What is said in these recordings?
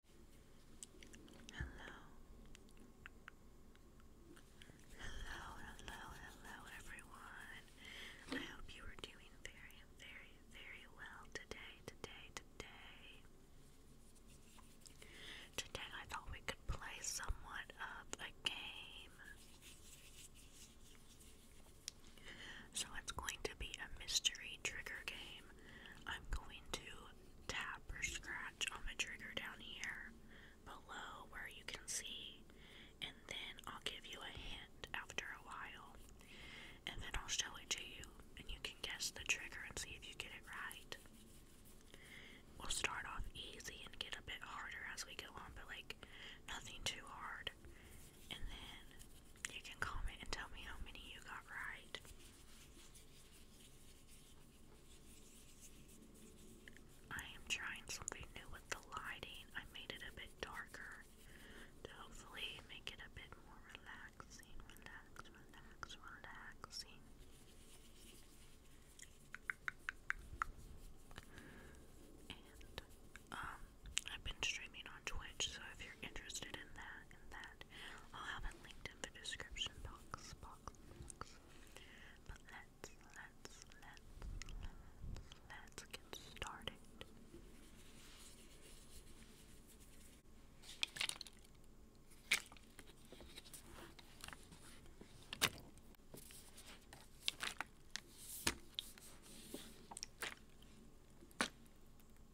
Hello. Hello, hello, hello everyone. I hope you are doing very, very, very well today, today, today. Today I thought we could play somewhat of a game. So it's going to be a mystery trigger game. I'm going to tap or scratch on the trigger down here below where you can see, and then I'll give you a hint after a while, and then I'll show it to you, and you can guess the trigger and see if you get it right. We'll start off easy and get a bit harder as we go on, but like nothing too hard, and then you can comment and tell me how many you got right. I am trying something new with the lighting. I made it a bit darker to hopefully make it a bit more relaxing, relax, relaxing. And um I've been streaming on Twitch, so if you're interested in that, in that. I'll have it linked in the description box, box, box. But let's, let's, let's, let's, let's get started.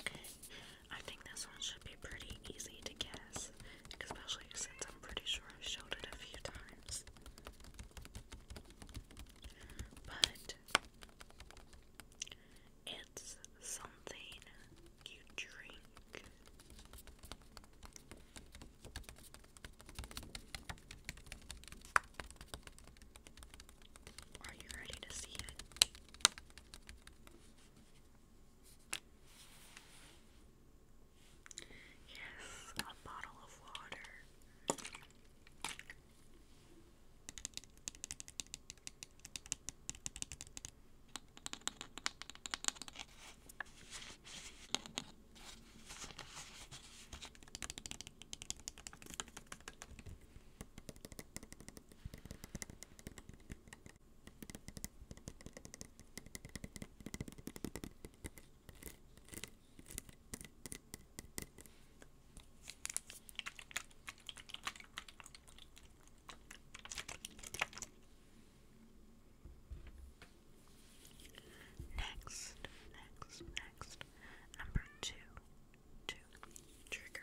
Okay, I think this one should be pretty easy to guess, especially since I'm pretty sure I've showed it a few times. But it's something you drink. Are you ready to see it? Yes, a bottle of water. Next, next, next. Number two to trigger.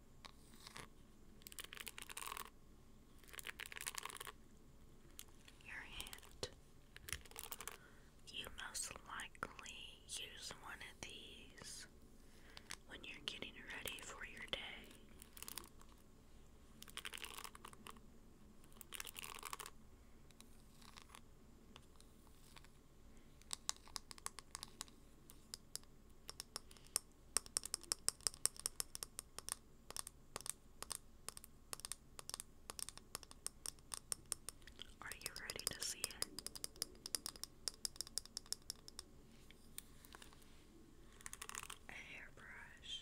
Your hand. You most likely use one of these when you're getting ready for your day. Are you ready to see it? A hairbrush.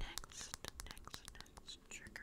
Next, next, next trigger.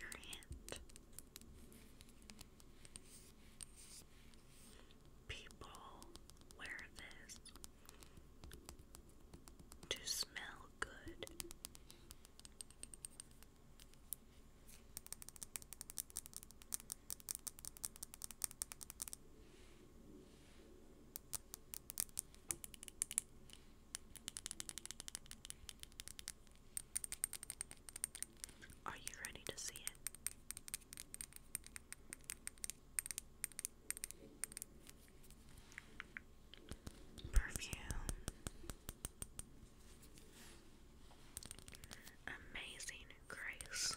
Your hand. People wear this to smell good. Are you ready to see it? Perfume. Amazing Grace.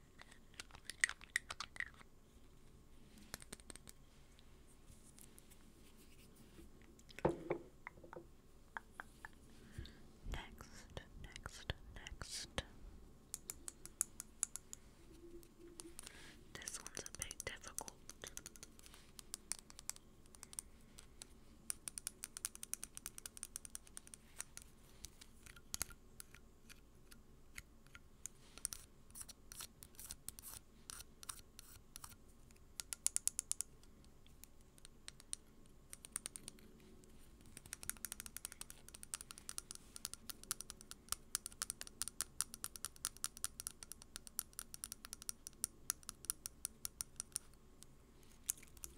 Next, next, next. This one's a bit difficult.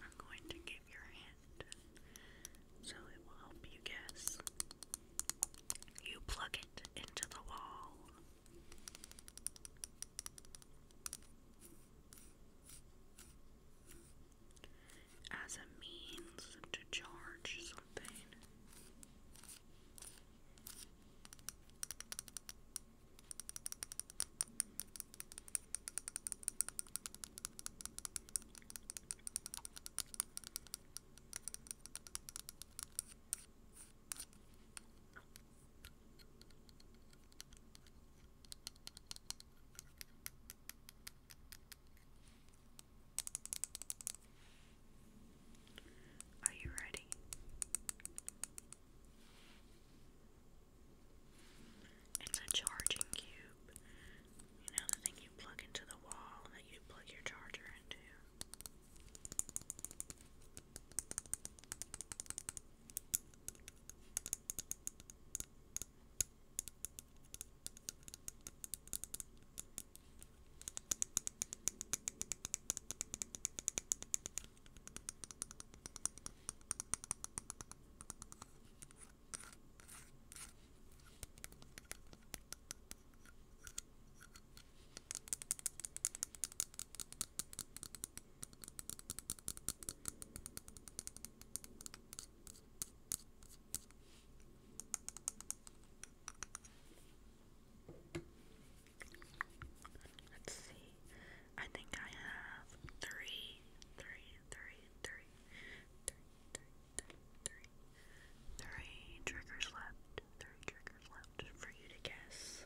I'm going to give your hand so it will help you guess. You plug it into the wall. As a means to charge something. Are you ready? It's a charging cube. You know, the thing plug into the wall that you plug your charger into. Let's see. I think I have three, three, three, three, three, three, three, three, three triggers left, three triggers left for you to guess.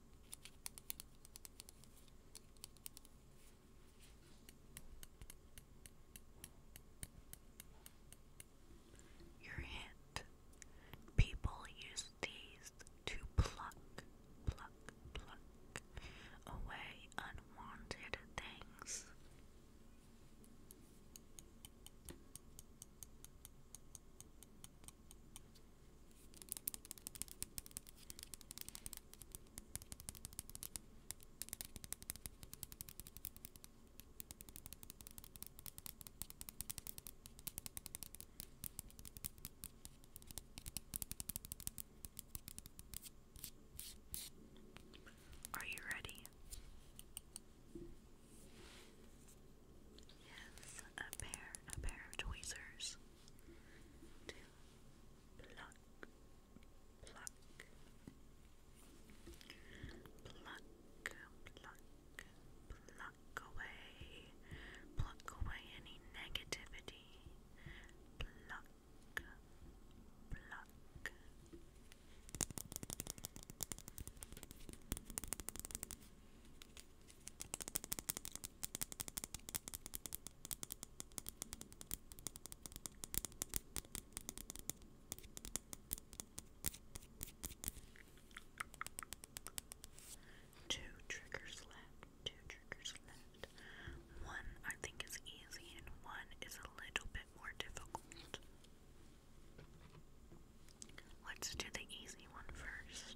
Your hint. People use these to pluck, pluck, pluck away unwanted things. Are you ready? Yes, a pair, a pair of tweezers pluck, pluck, pluck, pluck, pluck away, pluck away any negativity, pluck. Pluck, Two triggers left, two triggers left. One I think is easy and one is a little bit more difficult. Let's do the easy one first.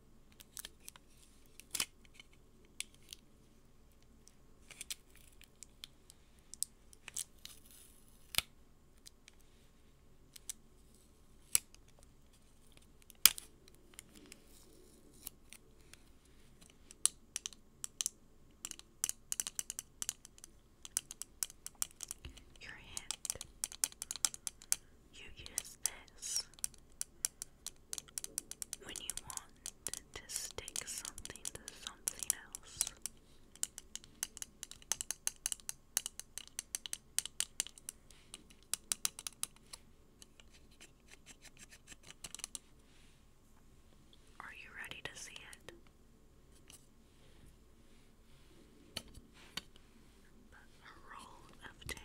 Your hand. You use this when you want to stick something to something else. Are you ready to see it? a roll of tape.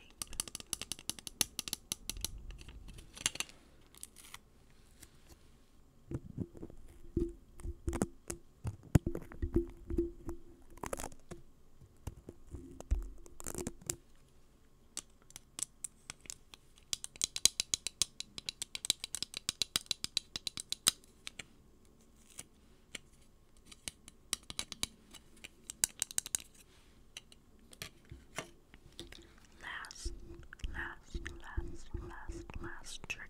Last, last, last, last, last trigger.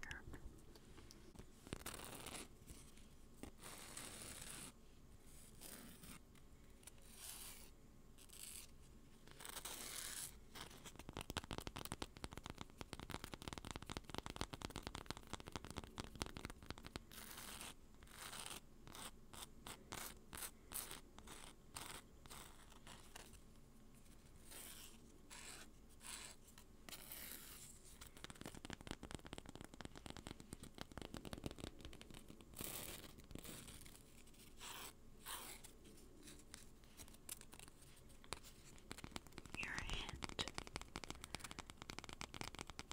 Your hand.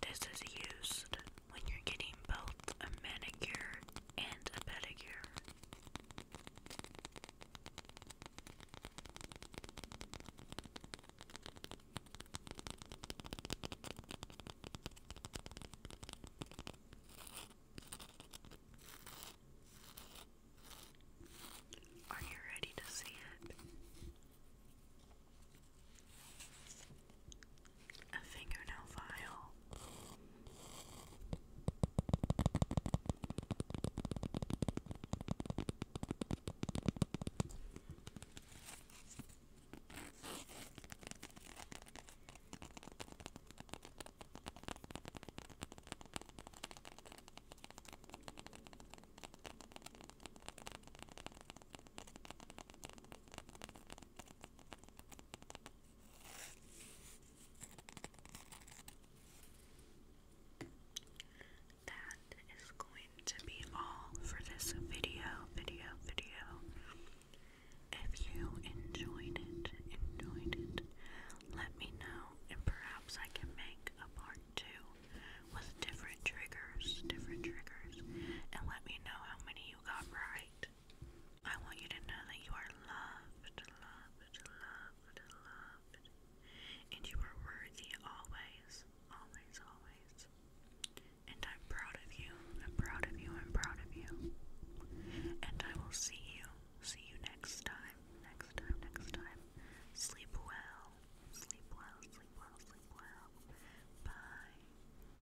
This is used when you're getting both a manicure and a pedicure. Are you ready to see it? a fingernail file. That is going to be all for this video, video, video. If you enjoyed it, enjoyed it, let me know and perhaps I can make a part two with different triggers, different triggers, and let me know how many you got right. I want you to know that you are loved, loved, loved, loved, and you are worthy always, always, always. And I'm proud of you, I'm proud of you, I'm proud of you. And I will see you, see you next time, next time, next time. Sleep well, sleep well, sleep well, sleep well. Bye.